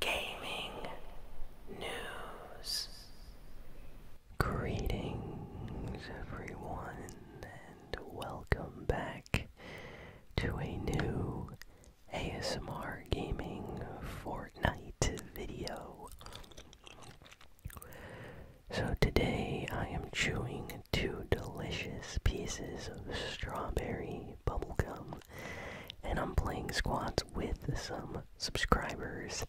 gaming news. Greetings, everyone, and welcome back to a new ASMR Gaming Fortnite video. So, today I am chewing two delicious pieces of strawberry bubble gum. And I'm playing squads with some subscribers.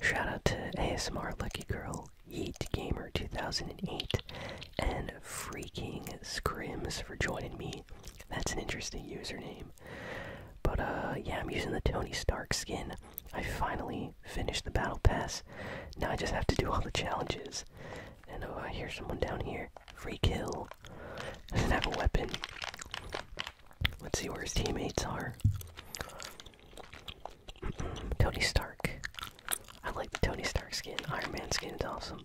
Shout out to ASMR Lucky Girl, Yeet Gamer 2008, and Freaking Scrims for joining me. That's an interesting username. But uh, yeah, I'm using the Tony Stark skin. I finally finished the battle pass. Now I just have to do all the challenges. And oh, I hear someone down here. Free kill. Doesn't have a weapon. Let's see where his teammates are. Tony Stark. I like the Tony Stark skin. Iron Man skin is awesome.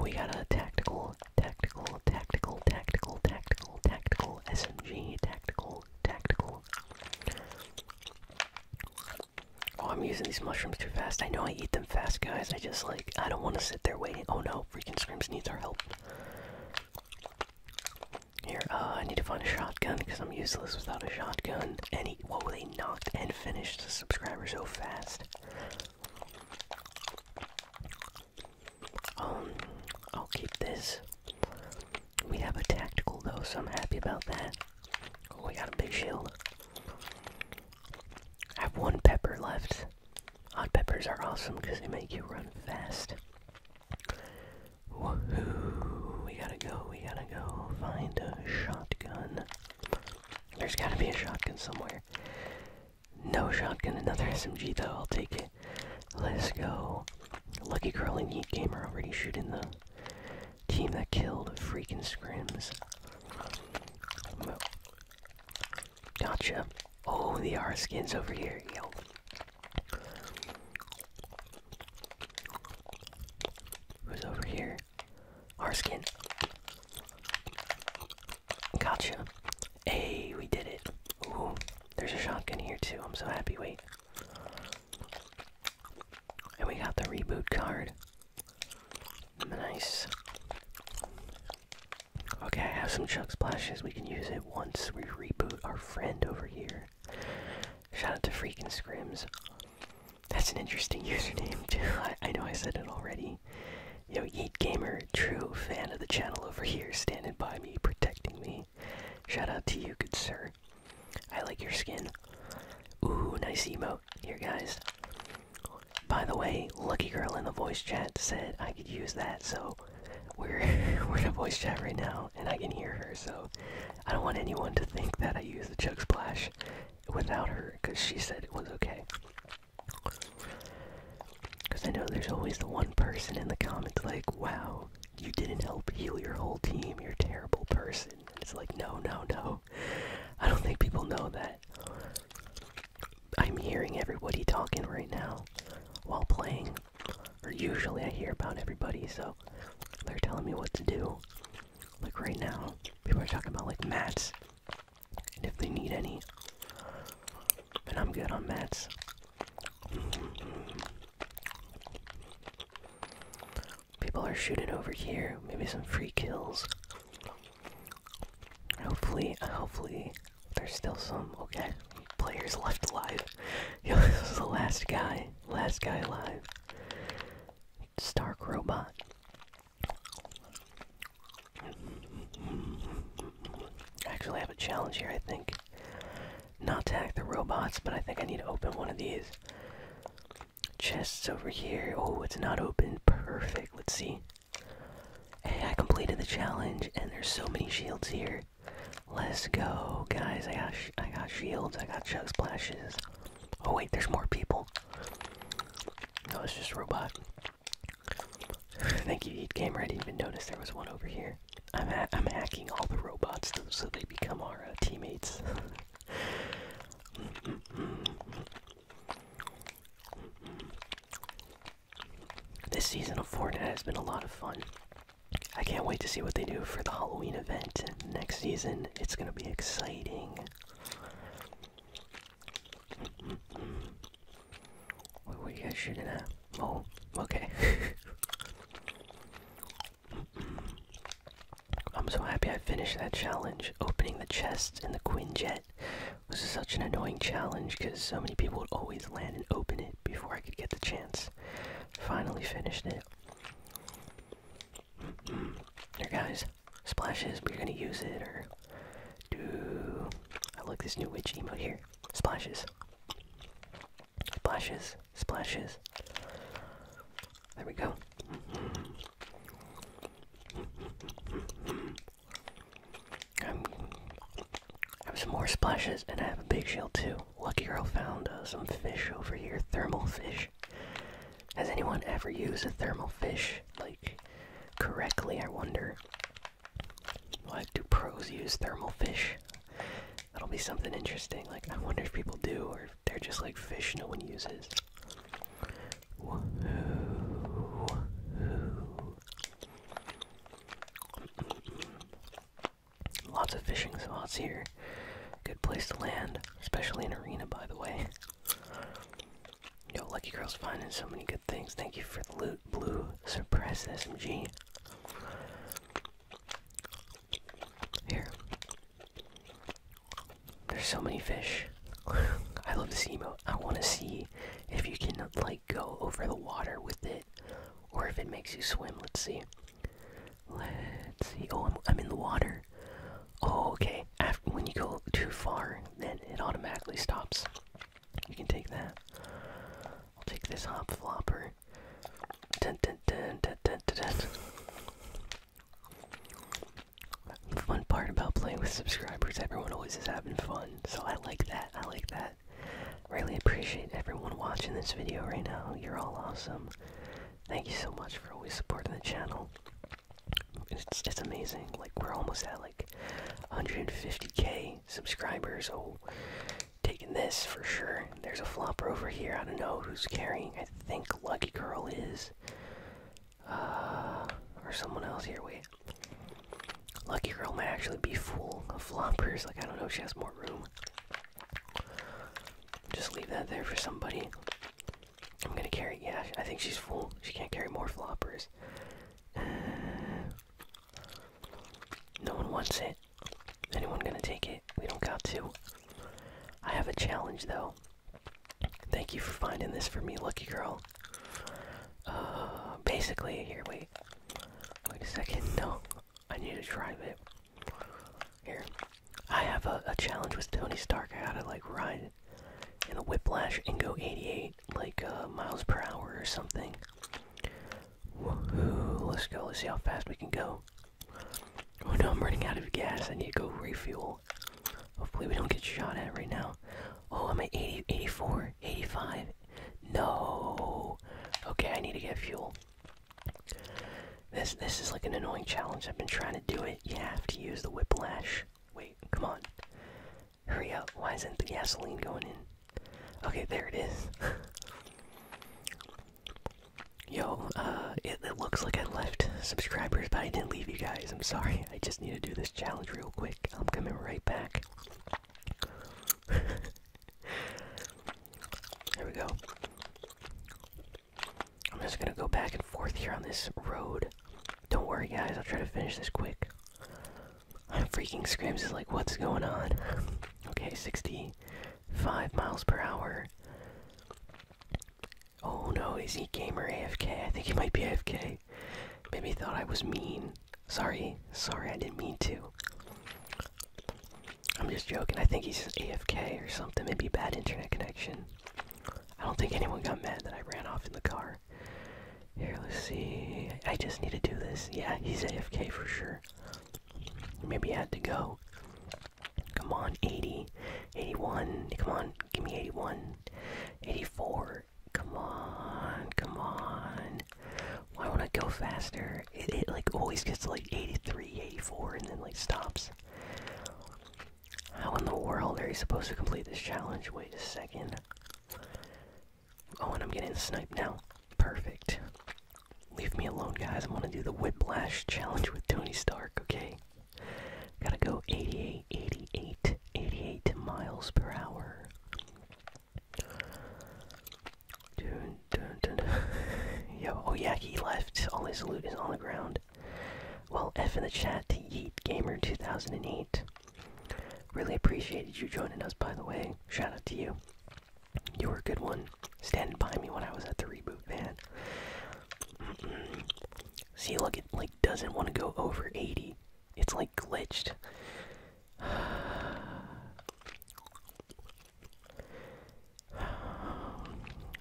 We got a tactical, tactical, tactical, tactical, tactical, tactical, SMG, tactical, tactical. Oh, I'm using these mushrooms too fast. I know I eat them fast, guys. I just like I don't want to sit there waiting. Oh no, freaking Screams needs our help. Here, uh, I need to find a shotgun because I'm useless without a shotgun. And he, whoa, they knocked and finished the subscriber so fast. Um, I'll keep this. We have a tactical though, so I'm happy about that. Oh, we got a big shield. I have one pepper left. Hot peppers are awesome because they make you run fast. Woohoo! We gotta go, we gotta go find a shotgun. There's gotta be a shotgun somewhere. No shotgun, another SMG though, I'll take it. Let's go. Lucky Girl and gamer already shooting the team that killed freaking Scrims. Gotcha. Oh, the R skins over here. Yo. Who's over here? R skin. Gotcha. Hey, we did it. Ooh, there's a shotgun here too. I'm so happy. Wait. And we got the reboot card. Nice. Okay, I have some Chuck Splashes. We can use it once we reboot our friend over here. Shout out to freaking Scrims. That's an interesting username, too. I, know I said it already. Yo, Yeet Gamer, true fan of the channel over here, standing by me, protecting me. Shout out to you, good sir. I like your skin. Ooh, nice emote here, guys. By the way, Lucky Girl in the voice chat said I could use that, so we're we're in a voice chat right now, and I can hear her. So I don't want anyone to think that I use the Chug Splash without her, because she said it was okay. Because I know there's always the one person in the comments like, wow, you didn't help heal your whole team, you're a terrible person. it's like, no, no, no. I don't think people know that. I'm hearing everybody talking right now while playing. Or usually I hear about everybody, so they're telling me what to do. Like right now, people are talking about like mats and if they need any. And I'm good on mats. People are shooting over here. Maybe some free kills. Hopefully, hopefully, there's still some okay players left alive. Yo, this is the last guy, last guy alive. Stark robot. I actually have a challenge here, I think. Not to attack the robots, but I think I need to open one of these chests over here. Oh, it's not open. Perfect. Let's see. Hey, I completed the challenge, and there's so many shields here. Let's go, guys! I got I got shields. I got chug splashes. Oh wait, there's more people. No, it's just robot. Thank you, Heat Gamer. I didn't even notice there was one over here. I'm I'm hacking all the robots so they become our uh, teammates. Mm, mm, mm. This season of Fortnite has been a lot of fun. I can't wait to see what they do for the Halloween event next season. It's gonna be exciting. What were you guys shooting at? Oh, okay. I'm so happy I finished that challenge, opening the chest in the Quinjet that was such an annoying challenge because so many people would always land and open it before I could get the chance. Finally finished it. There, guys. Splashes, we're gonna use it or do. I like this new witchy emote here. Splashes. Splashes. Splashes. There we go. Um, I have some more splashes, and I have a big shell too. Lucky girl found uh, some fish over here, thermal fish. Has anyone ever used a thermal fish, like, correctly, I wonder? Like, do pros use thermal fish? That'll be something interesting. Like, I wonder if people do, or if they're just like fish no one uses. Lots of fishing spots here. Good place to land, especially in arena, by the way. Yo, Lucky Girl's finding so many good things. Thank you for the loot, Blue Suppress SMG. Here. There's so many fish. I love this emote. I want to see if you can like go over the water with it, or if it makes you swim. Let's see. Let's see. Oh, I'm, in the water. Oh, okay. After, when you go too far, then it automatically stops. You can take that. I'll take this hop flopper the fun part about playing with subscribers, everyone always is having fun. So I like that. I like that. Really appreciate everyone watching this video right now. You're all awesome. Thank you so much for always supporting the channel. It's just amazing. Like we're almost at like 150k subscribers. So oh, taking this for sure. There's a flopper over here. I don't know who's carrying. I think Lucky Girl is. Uh, or someone else here. Wait. Lucky girl might actually be full of floppers. Like, I don't know if she has more room. Just leave that there for somebody. I'm gonna carry. Yeah, I think she's full. She can't carry more floppers. Uh, no one wants it. Anyone gonna take it? We don't got to. I have a challenge though. Thank you for finding this for me, lucky girl. Uh, basically, here, wait. Wait a second, no. I need to drive it. Here. I have a, challenge with Tony Stark. I had to like, ride in a whiplash and go 88, like, uh, miles per hour or something. Let's go. Let's see how fast we can go. Oh no, I'm running out of gas. I need to go refuel. Hopefully, we don't get shot at right now. Oh, I'm at 80, 84, 85. No. Okay, I need to get fuel. This this is like an annoying challenge. I've been trying to do it. You have to use the whiplash. Wait, come on. Hurry up. Why isn't the gasoline going in? Okay, there it is. Yo, uh, it looks like I left subscribers, but I didn't leave you guys. I'm sorry. I just need to do this challenge real quick. I'm coming right back there we go. I'm just gonna go back and forth here on this road. Don't worry, guys, I'll try to finish this quick. I'm freaking Scrims is like, what's going on? okay, 65 miles per hour. Oh no, is he gamer AFK? I think he might be AFK. Maybe thought I was mean. Sorry, sorry, I didn't mean to. I'm just joking. I think he's AFK or something. Maybe bad internet connection. I don't think anyone got mad that I ran off in the car. Here, let's see. I just need to do this. Yeah, he's AFK for sure. Maybe I had to go. Come on, 80, 81. Come on, give me 81, 84. Come on, come on. Why do not I go faster? It, like always gets to like 83, 84, and then like stops. How in the world are you supposed to complete this challenge? Wait a second. Oh, and I'm getting sniped now. Perfect. Leave me alone, guys. I want to do the Whiplash challenge with Tony Stark, okay? Gotta go 88, 88, 88 miles per hour. Yo, oh yeah, he left. All his loot is on the ground. Well, F in the chat to Yeet Gamer 2008. Really appreciated you joining us, by the way. Shout out to you. You were a good one. Standing by me when I was at the reboot van. See, look, it like doesn't want to go over 80. It's like glitched.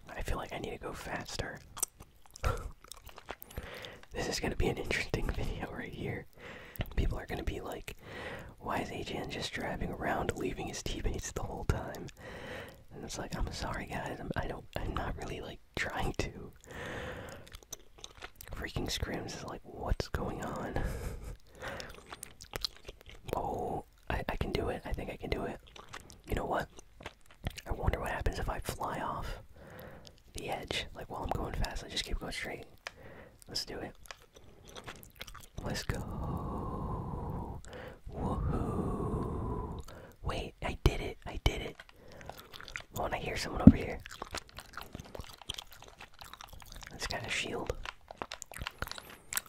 I feel like I need to go faster. this is gonna be an interesting video right here. People are gonna be like, why is AGN just driving around leaving his teammates the whole time? And it's like, I'm sorry guys, I'm, I don't, I'm not really like trying to. Freaking Scrims is like, what's going on? oh, I, I can do it. I think I can do it. You know what? I wonder what happens if I fly off the edge. Like, while I'm going fast, I just keep going straight. Let's do it. Let's go. Woohoo. Wait, I did it. I did it. Oh, and I hear someone over here. This guy has shield.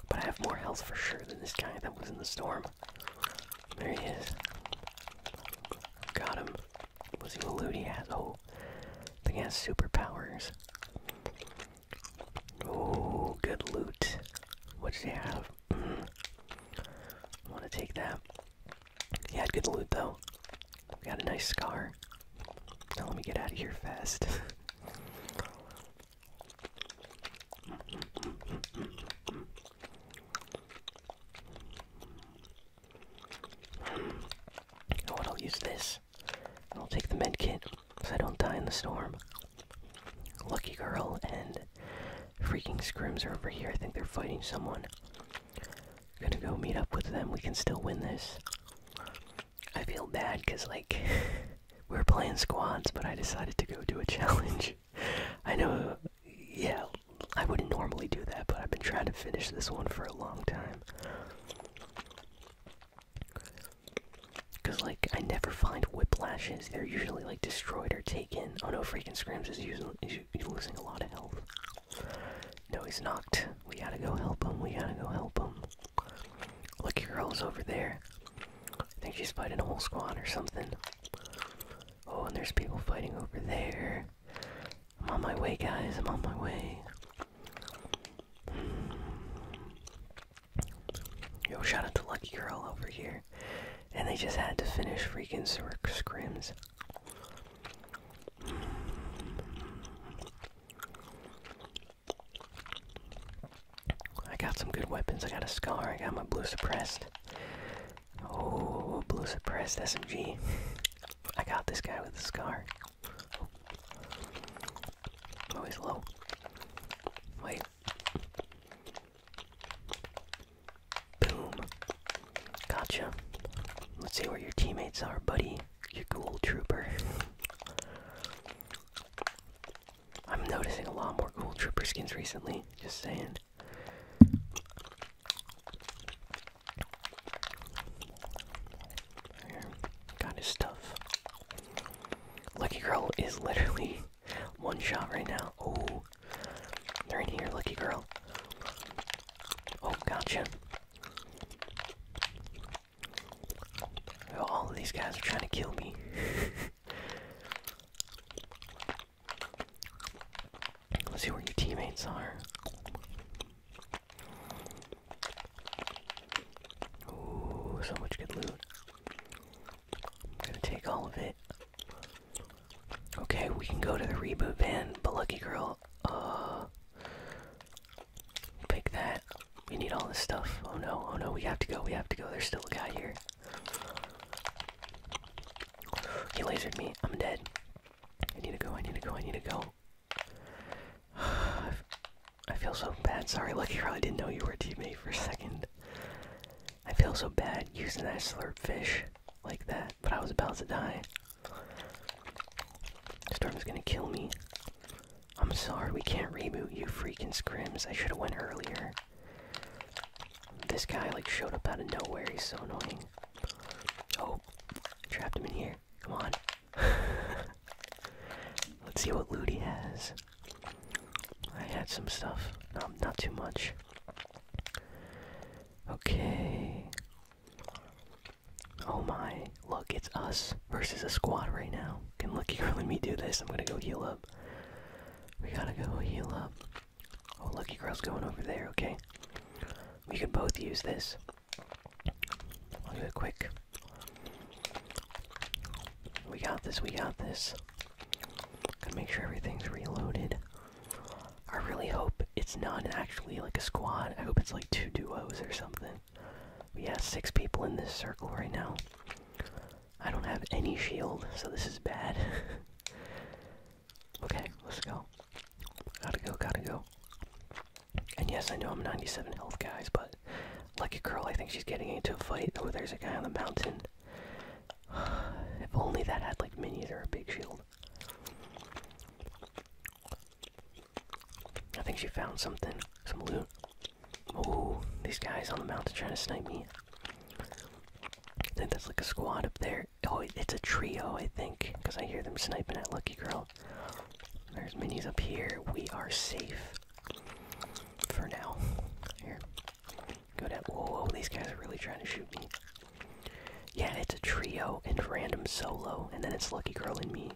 But I have more health for sure than this guy that was in the storm. There he is. Got him. Was he a looty asshole? I think he has superpowers. Oh, good loot. What does he have? I want to take that. Yeah, had good loot though. got a nice scar. Now let me get out of here fast. what I'll use this. I'll take the med kit so I don't die in the storm. Lucky Girl and freaking Scrims are over here. I think they're fighting someone. Gonna go meet up with them. We can still win this. I feel bad because, like, we are playing squads, but I decided to go do a challenge. I know, yeah, I wouldn't normally do that, but I've been trying to finish this one for a long time. Because, like, I never find whiplashes. They're usually, like, destroyed or taken. Oh no, freaking Scrims is usually, losing a lot of health. No, he's knocked. We gotta go help him. We gotta go help him. Look, your girl's over there. I think she's fighting a whole squad or something. Oh, and there's people fighting over there. I'm on my way, guys. I'm on my way. Hmm. Yo, shout out to Lucky Girl over here. And they just had to finish freaking Cirque Scrims. I got some good weapons. I got a scar. I got my blue suppressed. Oh, blue suppressed SMG. I got this guy with a scar. Always oh, low. Wait. Boom. Gotcha. Let's see where your teammates are, buddy. You ghoul trooper. I'm noticing a lot more cool trooper skins recently, just saying. There. Got his stuff. Lucky Girl is literally one shot right now. Oh, they're in here, Lucky Girl. Oh, gotcha. All these guys are trying to kill me. Let's see where your teammates are. Ooh, so much good loot. I'm gonna take all of it. Okay, we can go to the reboot van, but Lucky Girl, uh, Pick that. We need all this stuff. Oh no, oh no, we have to go, we have to go. There's still a guy here. He lasered me. I'm dead. I need to go, I need to go, I need to go. I feel so bad. Sorry, Look, you I didn't know you were a teammate for a second. I feel so bad using that slurp fish like that, but I was about to die. Storm is gonna kill me. I'm sorry, we can't reboot you freaking scrims. I should have went earlier. This guy like showed up out of nowhere. He's so annoying. Oh, trapped him in here. Come on. Let's see what loot he has. I had some stuff. No, um, not too much. Okay. Oh my, look, it's us versus a squad right now. Can Lucky Girl and me do this? I'm gonna go heal up. We gotta go heal up. Oh, Lucky Girl's going over there, okay. We could both use this. I'll do it quick. We got this, we got this. going to make sure everything's reloaded. I really hope it's not actually like a squad. I hope it's like two duos or something seven. We have six people in this circle right now. I don't have any shield, so this is bad. okay, let's go. Gotta go, gotta go. And yes, I know I'm 97 health, guys, but Lucky Girl, I think she's getting into a fight. Oh, there's a guy on the mountain. if only that had like minions or a big shield. I think she found something, some loot. Ooh, these guys on the mountain trying to snipe me. I think that's like a squad up there. Oh, it's a trio, I think, because I hear them sniping at Lucky Girl. There's minis up here. We are safe for now. Here, go down. whoa, these guys are really trying to shoot me. Yeah, it's a trio and random solo, and then it's Lucky Girl and me.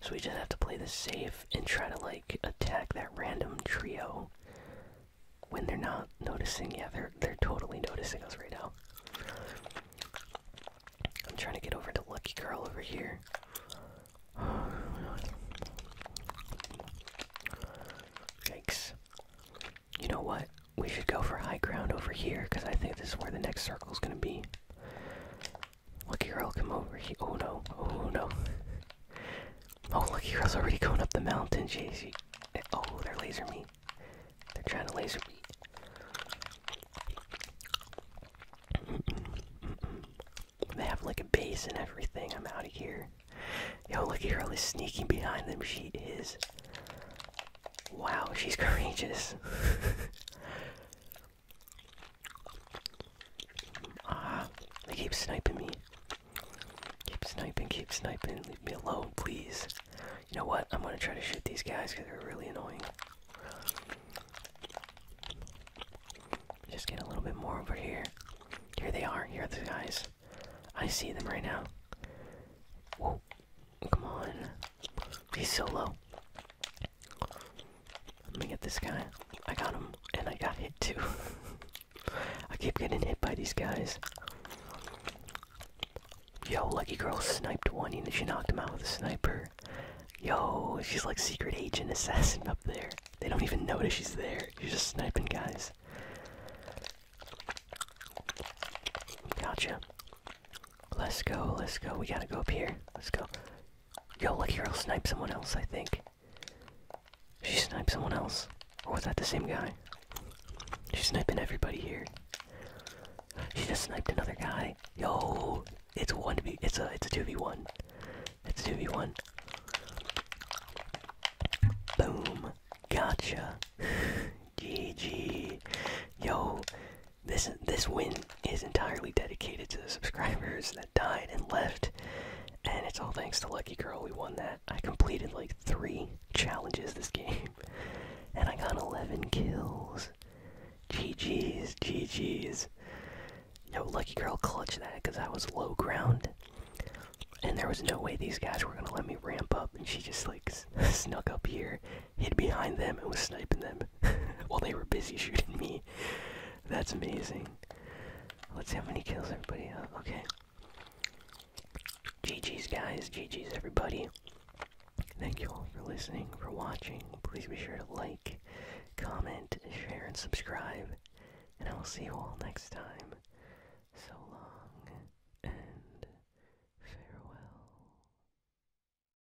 So we just have to play the safe and try to like attack that random trio when they're not noticing. Yeah, they're they're totally noticing us right now. I'm trying to get over to Lucky Girl over here. Yikes. You know what? We should go for high ground over here because I think this is where the next circle is going to be. Lucky Girl, come over here. Oh no, oh no. Oh, Lucky Girl's already going up the mountain, Jay. Eh, oh, they're laser me. They're trying to laser me. they have like a base and everything. I'm out of here. Yo, Lucky Girl is sneaking behind them. She is. Wow, she's courageous. Ah, they keep sniping me. Keep sniping, keep sniping. Leave me alone, please. You know what? I'm gonna try to shoot these guys because they're really annoying. Just get a little bit more over here. Here they are. Here are the guys. I see them right now. Come on. He's so low. Let me get this guy. I got him. And I got hit too. I keep getting hit by these guys. Yo, Lucky Girl sniped one. He, she knocked him out with a sniper. Yo, she's like secret agent assassin up there. They don't even notice she's there. She's just sniping guys. Gotcha. Let's go, let's go. We gotta go up here. Let's go. Yo, look here. I'll snipe someone else, I think. She sniped someone else. Or was that the same guy? She's sniping everybody here. She just sniped another guy. Yo, it's one v. It's a. It's a two v one. It's a two v one. Boom. Gotcha. GG. Yo, this this win is entirely dedicated to the subscribers that died and left, and it's all thanks to Lucky Girl. We won that. I completed like three challenges this game, and I got 11 kills. GG's, GG's. Yo, Lucky Girl clutched that because I was low ground, and there was no way these guys were gonna let me ramp up, and she just like snuck up here, hid behind them, and was sniping them. While well, they were busy shooting me. That's amazing. Let's see how many kills everybody Okay. GG's, guys. GG's, everybody. Thank you all for listening, for watching. Please be sure to like, comment, share, and subscribe. And I will see you all next time. So long and farewell.